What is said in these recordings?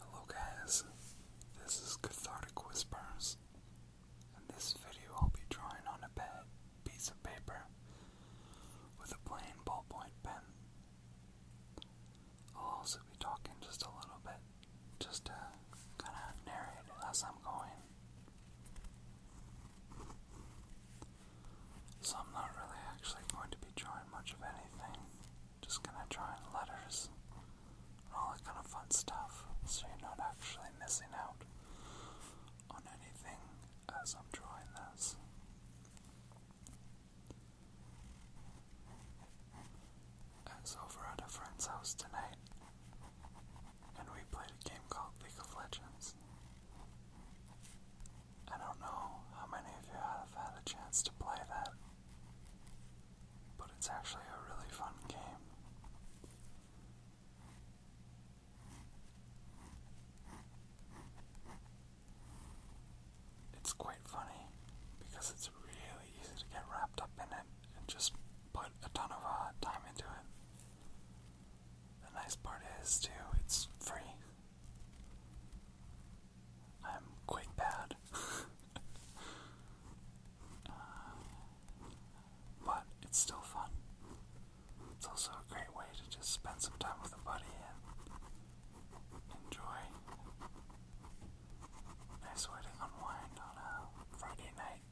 Hello guys, this is Cathartic Whispers. In this video I'll be drawing on a pad piece of paper with a plain ballpoint pen. I'll also be talking just a little bit, just to kind of narrate as I'm going. So I'm not really actually going to be drawing much of anything. Just gonna draw letters and all that kind of fun stuff so you're not actually missing out on anything as I'm drawing this. I was over at a friend's house tonight and we played a game called League of Legends. I don't know how many of you have had a chance to play that. But it's actually a really fun game. It's quite funny because it's really easy to get wrapped up in it and just put a ton of uh, time into it. The nice part is, too, it's free, I'm quite bad. Uh, but it's still fun. It's also a great way to just spend some time with a buddy and enjoy. Nice way to unwind on a Friday night.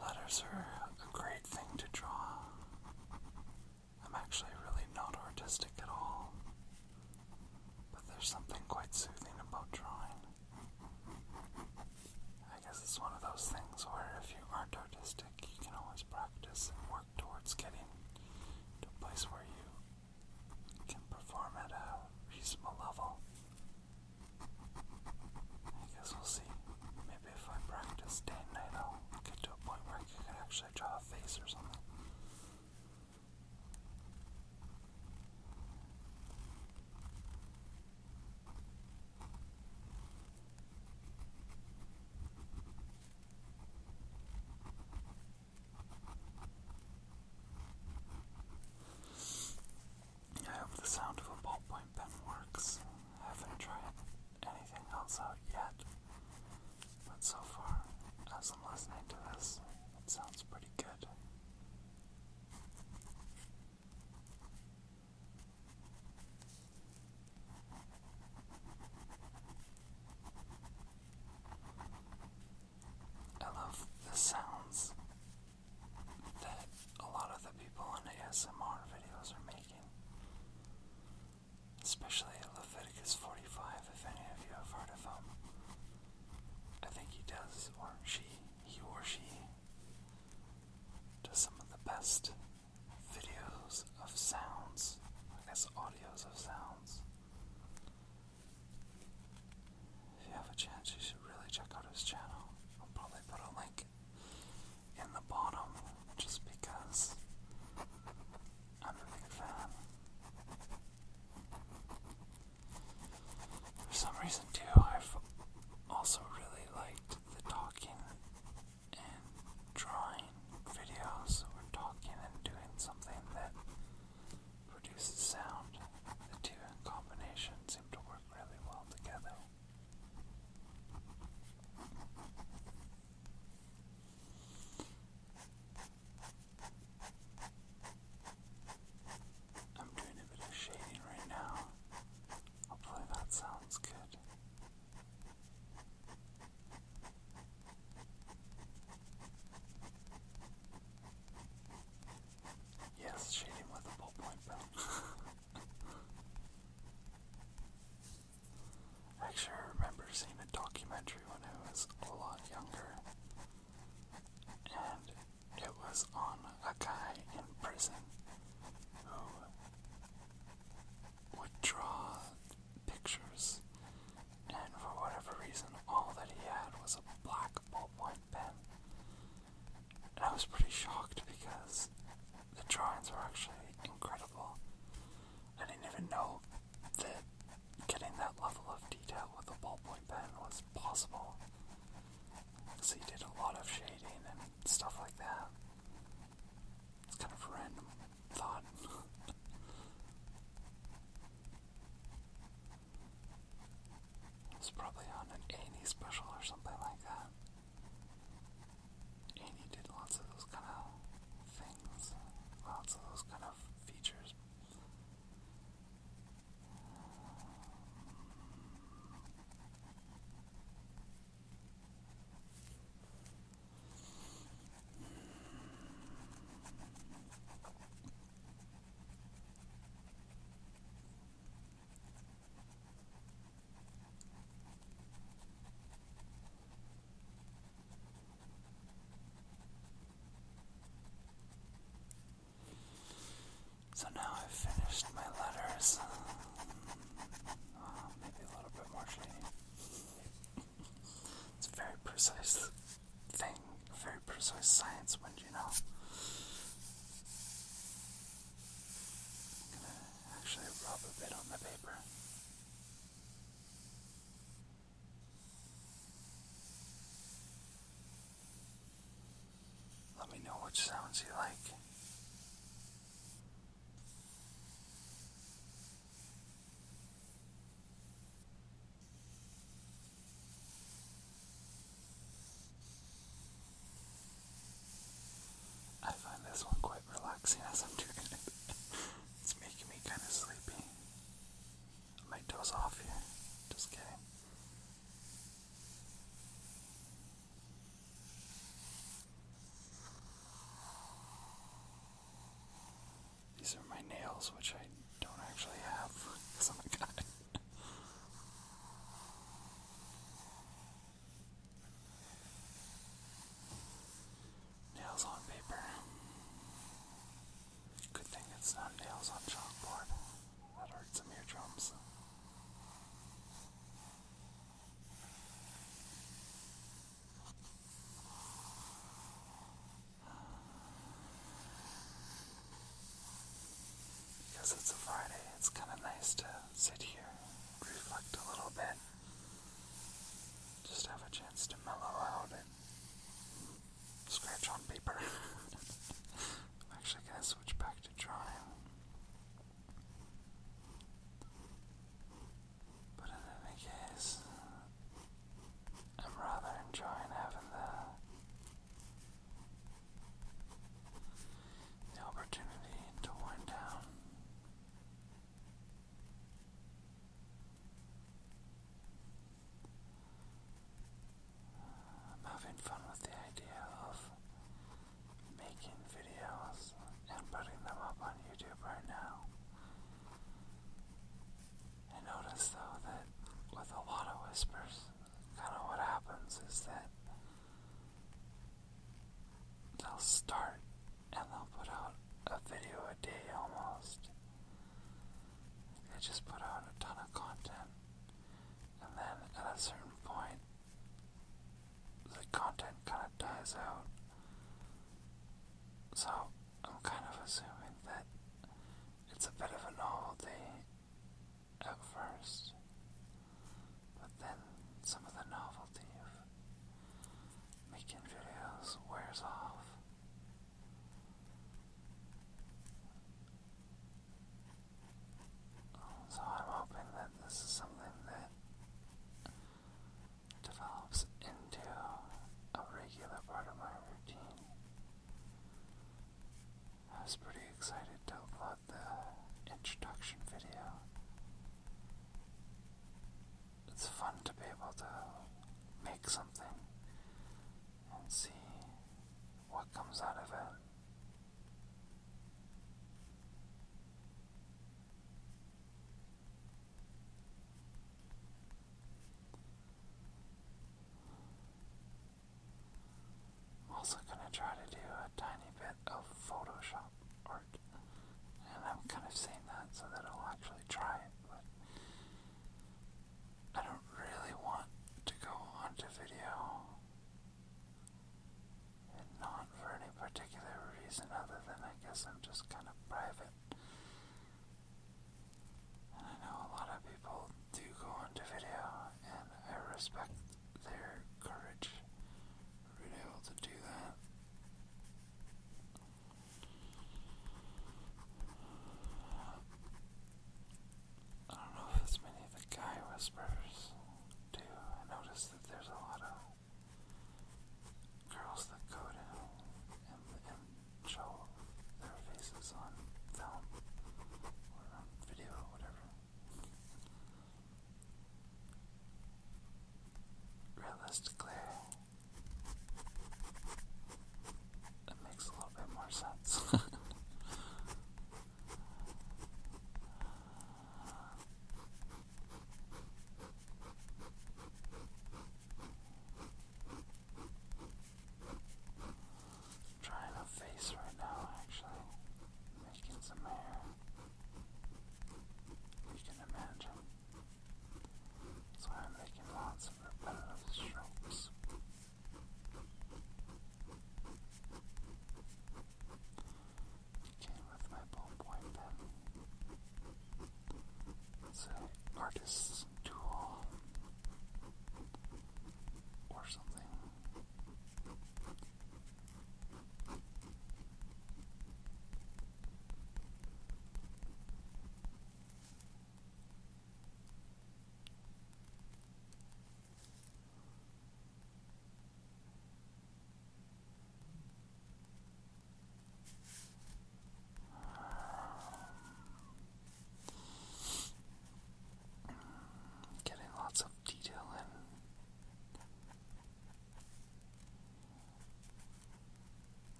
Letters are a great thing to draw. I'm actually really not artistic at all, but there's something quite soothing about drawing. I guess it's one of those things where if you aren't artistic, you can always practice and work towards getting to a place where you can perform at a reasonable level. I guess we'll see. Maybe if I practice day and night, I'll get to a point where I can actually draw a face or something. I hope the sound of a ballpoint pen works. haven't tried anything else out yet, but so far, as I'm listening to this, it sounds pretty good. I love the sounds that a lot of the people in ASMR videos are making. Especially Leviticus 45, if any of you have heard of him. I think he does, or she, he or she, does some of the best videos of sounds, I guess audios of sounds. If you have a chance, you should really check out his channel. I'll probably put a link in the bottom just because I'm a big fan. For some reason, too, I've also really liked the talking and drawing videos or talking and doing something that produces sound. The two in combination seem to work really well together. I'm doing a bit of shading right now. Hopefully that sounds good. Yes, shading with a ballpoint pen. I remember seeing a documentary when I was a lot younger, and it was on a guy in prison would draw pictures, and for whatever reason, all that he had was a black ballpoint pen. I was pretty shocked because the drawings were actually incredible. I didn't even know that getting that level of detail with a ballpoint pen was possible. Because he did a lot of shading and stuff like that. It's kind of random thought. it's probably on an Annie special or something like that. Annie did lots of those kind of things, lots of those kind of features. So now I've finished my letters. Um, maybe a little bit more shading. It's a very precise thing, very precise science when you know. I'm gonna actually rub a bit on the paper. Let me know which sounds you like. I find this one quite relaxing as I'm doing it. it's making me kind of sleepy. I might doze off here. Just kidding. These are my nails, which I don't actually have because I'm Nails on paper. Good thing it's not nails on chalkboard. That hurts some eardrums. Because it's a Friday, it's kind of nice to sit here, reflect a little bit, just have a chance to mellow out and scratch on paper. I'm actually going to switch back to drawing. But in any case, I'm rather enjoying having the, opportunity to wind down. I'm having fun with the idea of making videos and putting them up on YouTube right now. And notice though that with a lot of whispers, kind of what happens is that they'll start and they'll put out a video a day almost. They just put out a ton of content, and then at a certain point, the content kind of dies out. So I'm kind of assuming that it's a bit of a novelty at first, but then some of the novelty of making videos wears off. So I'm hoping that this is something that that develops into a regular part of my routine. I was pretty excited to upload the introduction video. It's fun to be able to make something and see what comes out of it. I'm also going to try to do a tiny bit of Photoshop art. And I'm kind of saying that so that I'll actually try it, but I don't really want to go onto video and not for any particular reason other than I guess I'm just kind of private. And I know a lot of people do go into video, and I respect their courage for being able to do that. I don't know if it's many of the guy whispers do. I noticed that there's a lot of Girls that go to and, and show their faces on film or on video or whatever. Realistically, it makes a little bit more sense. i trying a face right now, actually. Making some hair. You can imagine. So I'm making lots of repetitive strokes. It came with my ballpoint pen. It's artist's tool or something. Getting lots of detail in.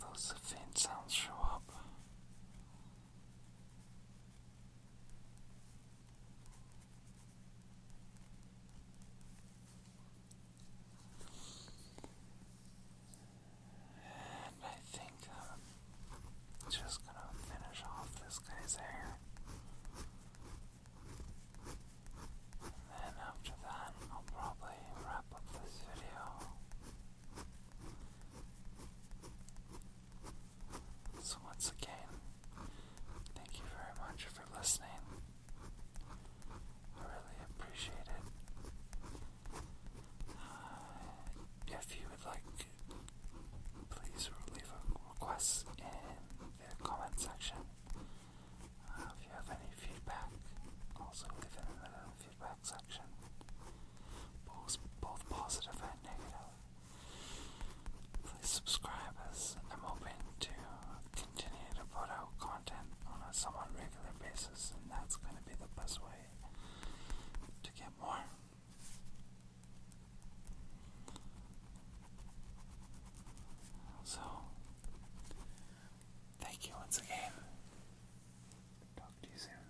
those faint sounds show up. And I think I'm uh, just going to finish off this guy's hair. And after that, I'll probably wrap up this video. So, once again, thank you very much for listening. I really appreciate it. Uh, if you would like, please leave a request in the comment section. Uh, if you have any feedback, also leave in the feedback section. Both, both positive and negative. Please subscribe as I'm hoping to continue to put out content on a somewhat regular basis, and that's going to be the best way to get more. So, thank you once again. Talk to you soon.